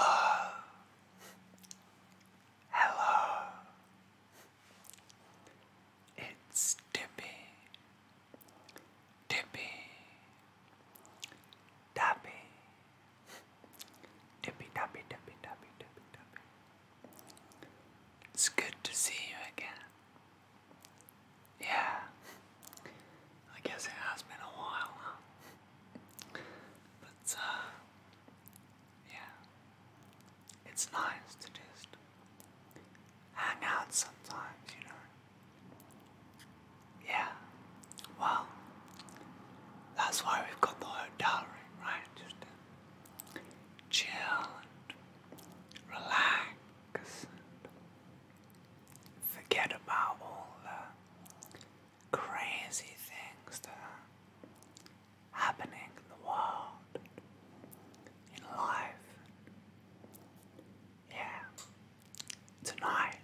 Oh, hello. It's Tippy, Tippy, Tappy, Tippy, Tappy, Tippy, Tappy, It's good to see you again. Yeah. I guess it has been a while, But, uh, yeah. It's nice to just hang out sometimes, you know? Yeah. Well, that's why we've got the hotel room, right? chill and relax forget about all the crazy things that are happening in the world, in life. Yeah. Tonight,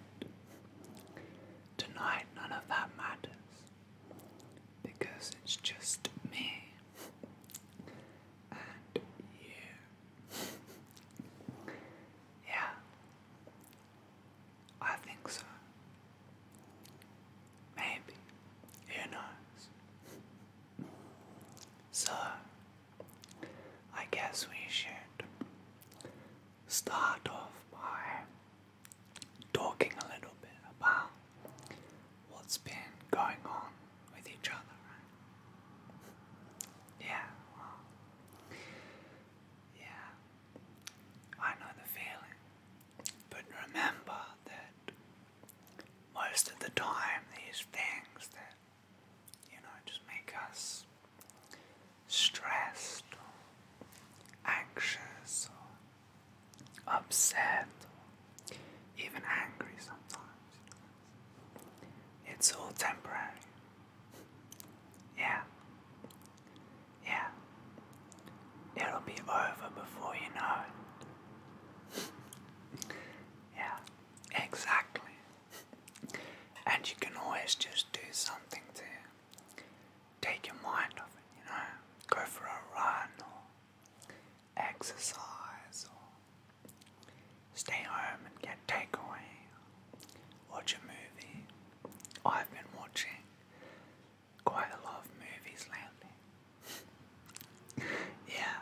tonight, none of that matters because it's just me and you. yeah. I think so. Maybe. Who knows? So, I guess we should start off by talking a little bit about what's been going on with each other, Yeah, yeah, I know the feeling. But remember that most of the time, these things that, you know, just make us stressed or anxious or upset even angry sometimes, it's all temporary. Yeah. Yeah. It'll be over before you know yeah, exactly. And you can always just do something to take your mind off it, you know? Go for a run or exercise or stay home and get takeaway watch a movie. I've been watching quite a lot of movies lately. yeah,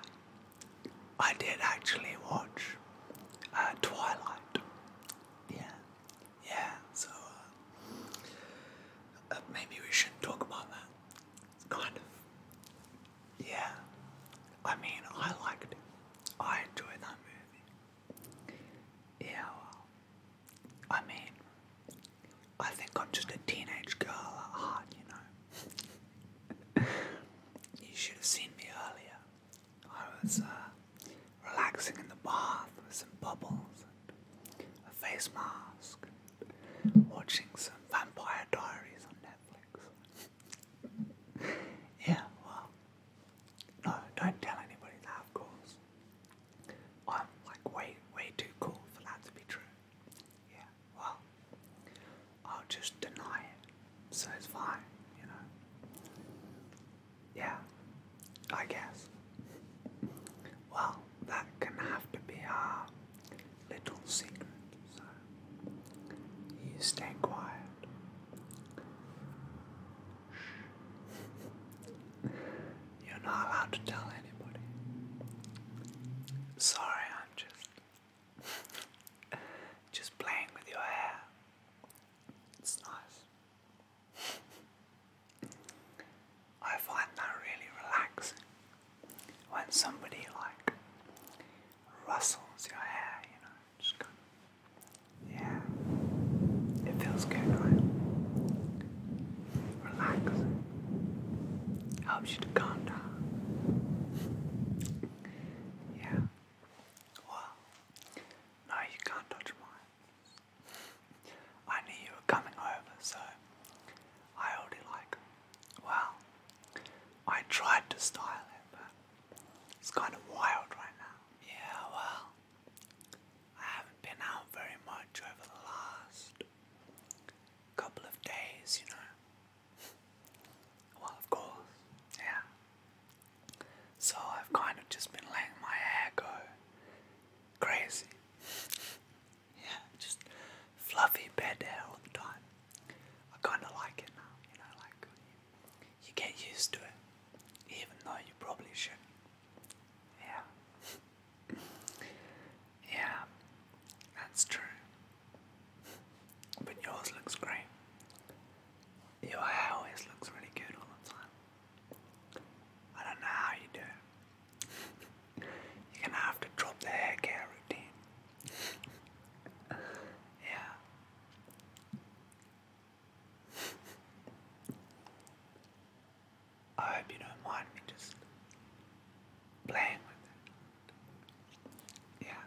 I did actually watch uh, Twilight. Yeah, yeah, so uh, uh, maybe we shouldn't talk about that. Kind of. Yeah, I mean, I liked I enjoyed that movie. Yeah, I mean, I think I'm just a teenage girl at heart, you know. you should have seen me earlier. I was uh, relaxing in the bath with some bubbles a face mask, watching some Vampire Diaries on Netflix. yeah, well, no, don't tell anybody that, of course. I'm like way, way too cool for that to be true. Yeah, well, I'll just deny it, so it's fine, you know. Yeah, I guess. Well, that can have to be our little secret, so you stay quiet. You're not allowed to tell anybody. Sorry, I'm just just playing with your hair. It's nice. I find that really relaxing when somebody like rustles your hair, you know. Just kind yeah, it feels good, right? Relaxing. Helps you to calm down. yeah. Well, no, you can't touch mine. I knew you were coming over, so I already like it. Well, I tried to style it, but it's kind of wild right now. Yeah, well, I haven't been out very much over the last couple of days, you know. well, of course, yeah. So I've kind of just been letting my hair go crazy. yeah, just fluffy bed hair all the time. I kind of like it now, you know, like you get used to it even though you probably should Yeah. yeah, that's true. But yours looks great. Your hair always looks really good all the time. I don't know how you do You're gonna have to drop the hair care routine. yeah. I hope you don't mind me just playing with it. Yeah.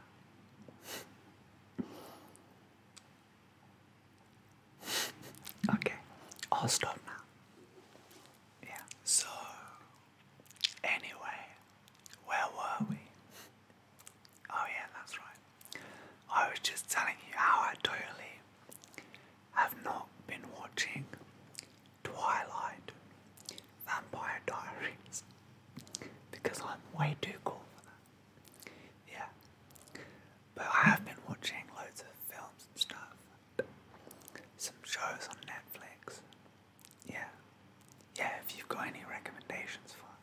okay, I'll stop now. Yeah, so anyway, where were we? Oh, yeah, that's right. I was just telling you how I totally have not been watching Twilight Vampire Diaries because I'm way too cool for that. Yeah. But I have been watching loads of films and stuff, some shows on Netflix. Yeah. Yeah, if you've got any recommendations for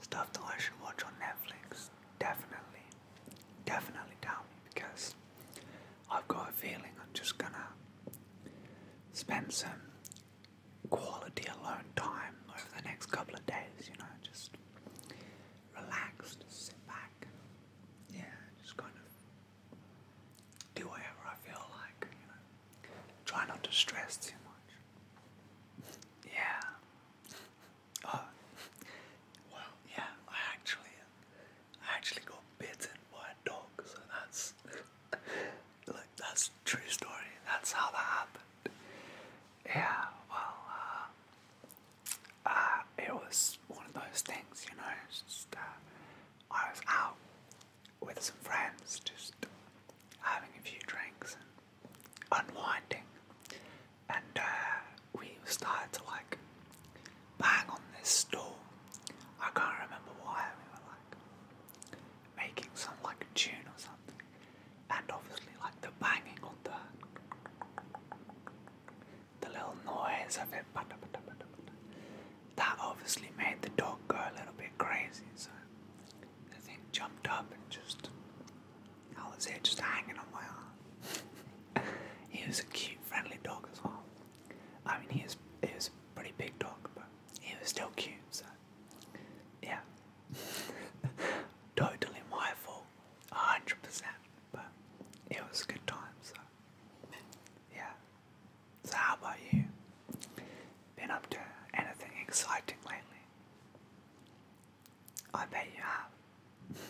stuff that I should watch on Netflix, definitely, definitely tell me because I've got a feeling I'm just gonna spend some quality alone time over the next couple of days, you know, just relaxed, sit back, and, yeah, just kind of do whatever I feel like, you know, try not to stress too much. Yeah. Uh, well, yeah, I actually, I actually got bitten by a dog, so that's, like, that's a true story. That's how that happened. Yeah, well, uh, uh, it was one of those things, you know, just, uh, I was out with some friends, just having a few drinks and unwinding, and uh, we started to like bang on this door. I can't remember why we were like making some like tune or something, and obviously like the banging on the the little noise of it. That obviously made the dog go a little bit crazy, so the thing jumped up and just I was there just hanging on my arm. he was a cute, friendly dog as well. I mean, he was, he was a pretty big dog, but he was still cute, so. Yeah. totally my fault. 100%. But it was a good time, so. Yeah. So, how about you? Been up to anything exciting lately? I bet you have.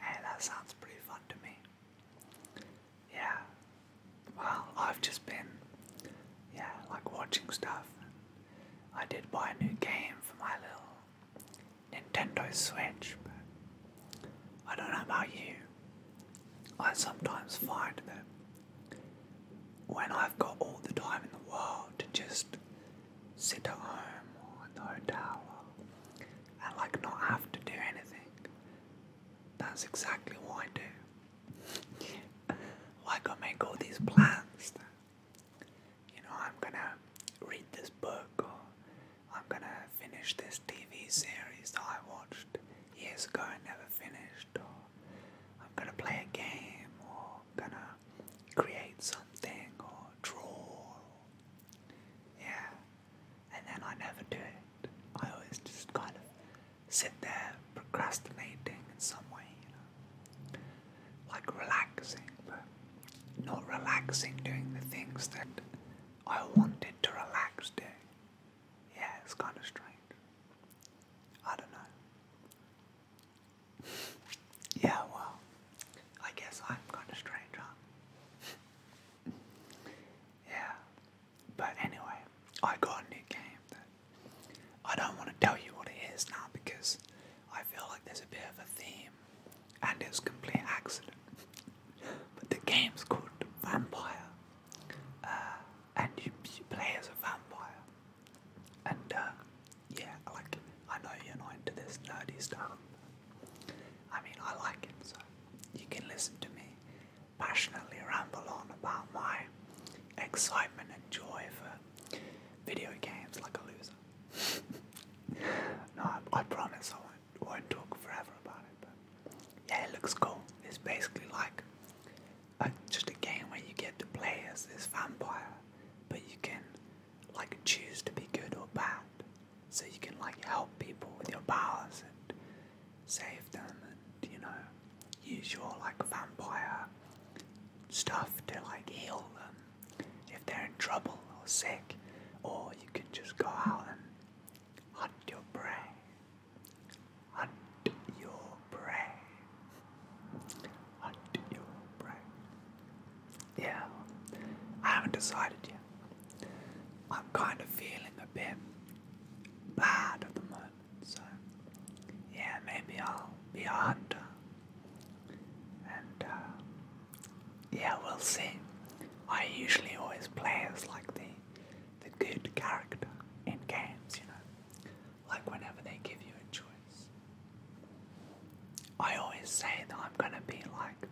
hey, that sounds pretty fun to me. Yeah. Well, I've just been, yeah, like watching stuff. I did buy a new game for my little Nintendo Switch, but I don't know about you. I sometimes find that when I've got all the time in the world to just sit at home or at the hotel and like not have to do anything. That's exactly what I do. like I make all these plans you know, I'm gonna read this book or I'm gonna finish this TV series that I watched years ago and never finished or I'm gonna play a game gonna create something or draw. Yeah. And then I never do it. I always just kind of sit there procrastinating in some way, you know. Like relaxing, but not relaxing doing the things that I wanted to relax doing. Yeah, it's kind of strange. I don't know. Yeah, well, I guess I'm kind of strange, huh? yeah. But anyway, I got a new game that I don't want to tell you what it is now because I feel like there's a bit of a theme and it's complete accident. but the game's called Vampire, uh, and you, you play as a vampire. And uh, yeah, like I know you're not into this nerdy stuff. I mean, I like it, so you can listen to me passionately ramble on about my excitement and joy for video games like a loser. no, I, promise I won't, won't talk forever about it. But yeah, it looks cool. It's basically like just a game where you get to play as this vampire, but you can like choose to be good or bad. So you can like help people with your powers and save them and you know use your like vampire stuff to like heal them if they're in trouble or sick or you can just go out and hunt your prey. Hunt your prey. Yeah, I haven't decided yet. I'm kind of feeling a bit bad at the moment, so yeah, maybe I'll be a hunter. And uh, yeah, we'll see. I usually always play as like the the good character in games, you know like whenever they give you a choice. I always say that I'm gonna be like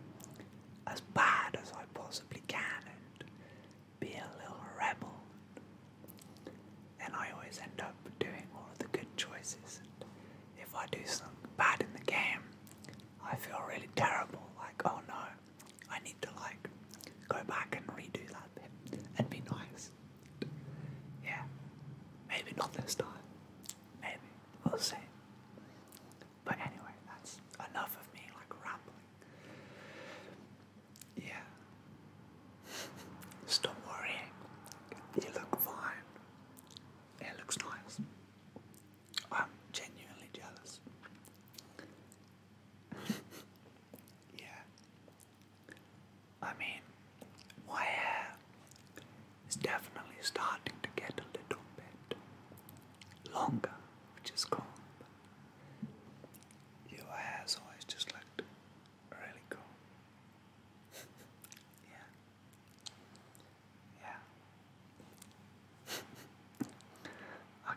as bad as I possibly can and be a little rebel. And I always end up doing all of the good choices. And if I do something bad in the game, I feel really terrible. Like, oh no, I need to like go back and redo that bit and be nice. Yeah, maybe not this time. Maybe we'll see. But anyway, that's enough of me like rambling. Yeah. Stop worrying. You look fine. It looks nice. I'm genuinely jealous. yeah. I mean, my hair is definitely starting to get a little bit longer, which is cool. Your hair always just looked really cool. yeah. Yeah.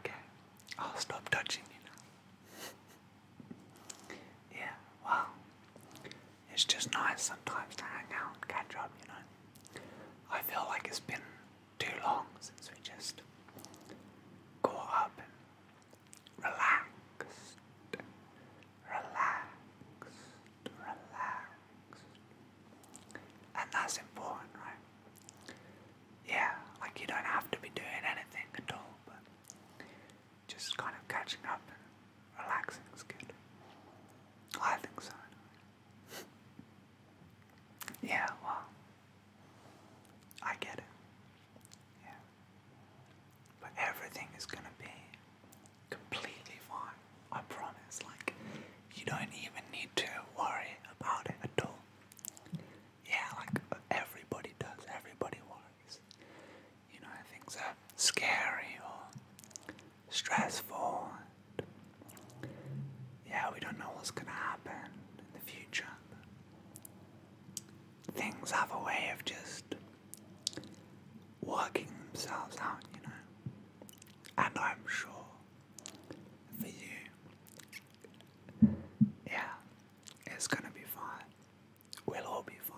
okay, I'll stop touching you now. yeah, wow. It's just nice sometimes to hang out and catch up, you know. I feel like it's been too long since we just caught up and relaxed, relaxed, relaxed. And that's important, right? Yeah, like you don't have to be doing anything at all, just kind of catching up and relaxing is good. I think so. yeah, well, I get it. Yeah. But everything is gonna be completely fine. I promise. Like, you don't even need to worry about it at all. Yeah, like everybody does. Everybody worries you know, things are scary or stressful. And yeah, we don't know what's going to happen in the future. Things have a way of just working themselves out, you know. And I'm sure for you, yeah, it's gonna be fine. We'll all be fine.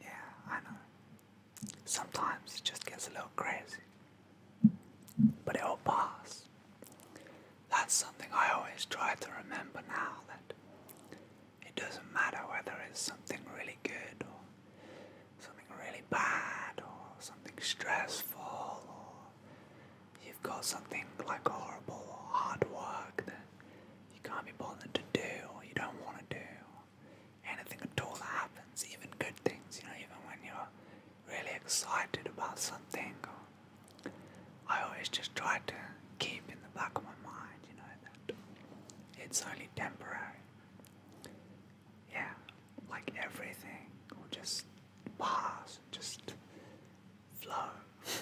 Yeah, I know. Sometimes it just gets a little crazy. But it'll pass. That's something I always try to remember now that it doesn't matter whether it's something really good or something really bad or something stressful or you've got something like horrible or hard work you can't be bothered to do or you don't want to do. Anything at all that happens, even good things, you know, even when you're really excited about something. I always just try to keep in the back of my mind, you know, that it's only temporary. Yeah, like everything will just pass, just flow.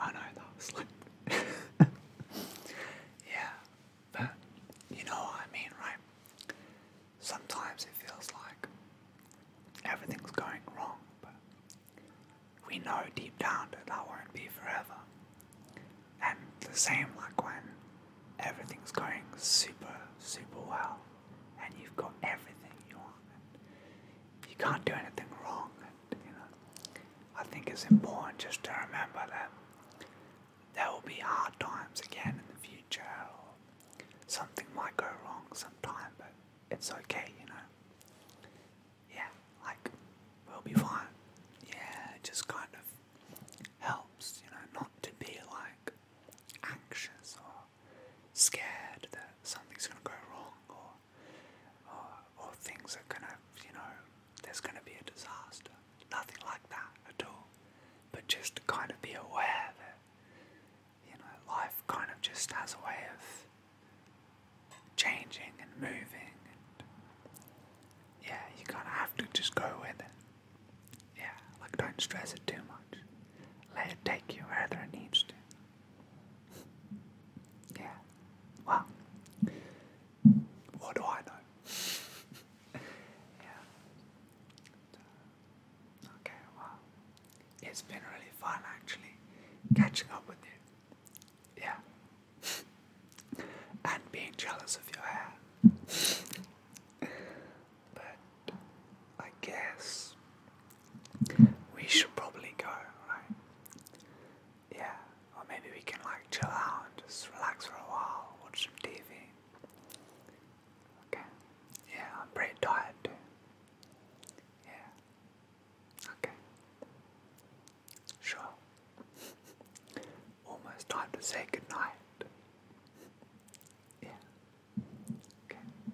I know that like, yeah, but you know what I mean, right? Sometimes it feels like everything's going wrong, but we know deep down that that won't be forever. And the same like when everything's going super, super well, and you've got everything you want, and you can't do anything wrong, you know, I think it's important just to remember that there will be hard times again in the future, something might go wrong sometime, but it's okay, you know. Yeah, like we'll be fine. Yeah, it just kind of helps, you know, not to be like anxious or scared that something's gonna go wrong or uh, or, things are gonna, you know, there's gonna be a disaster. Nothing like that at all. But just to kind of be aware that, you know, life kind of just has a way of changing and moving and yeah, you kind to have to just go with it. Yeah, like don't stress it too much. Let it take you where it needs to. Yeah. Wow. What do I know? yeah. okay, wow. It's been really fun actually catching up with you. Yeah. and being jealous of your hair. but I guess we should probably go, right? Yeah, or maybe we can like chill out and just relax for a while, watch some TV. Okay. Yeah, I'm pretty tired too. Yeah. Okay. Sure. Almost time to say goodnight. Yeah. Okay.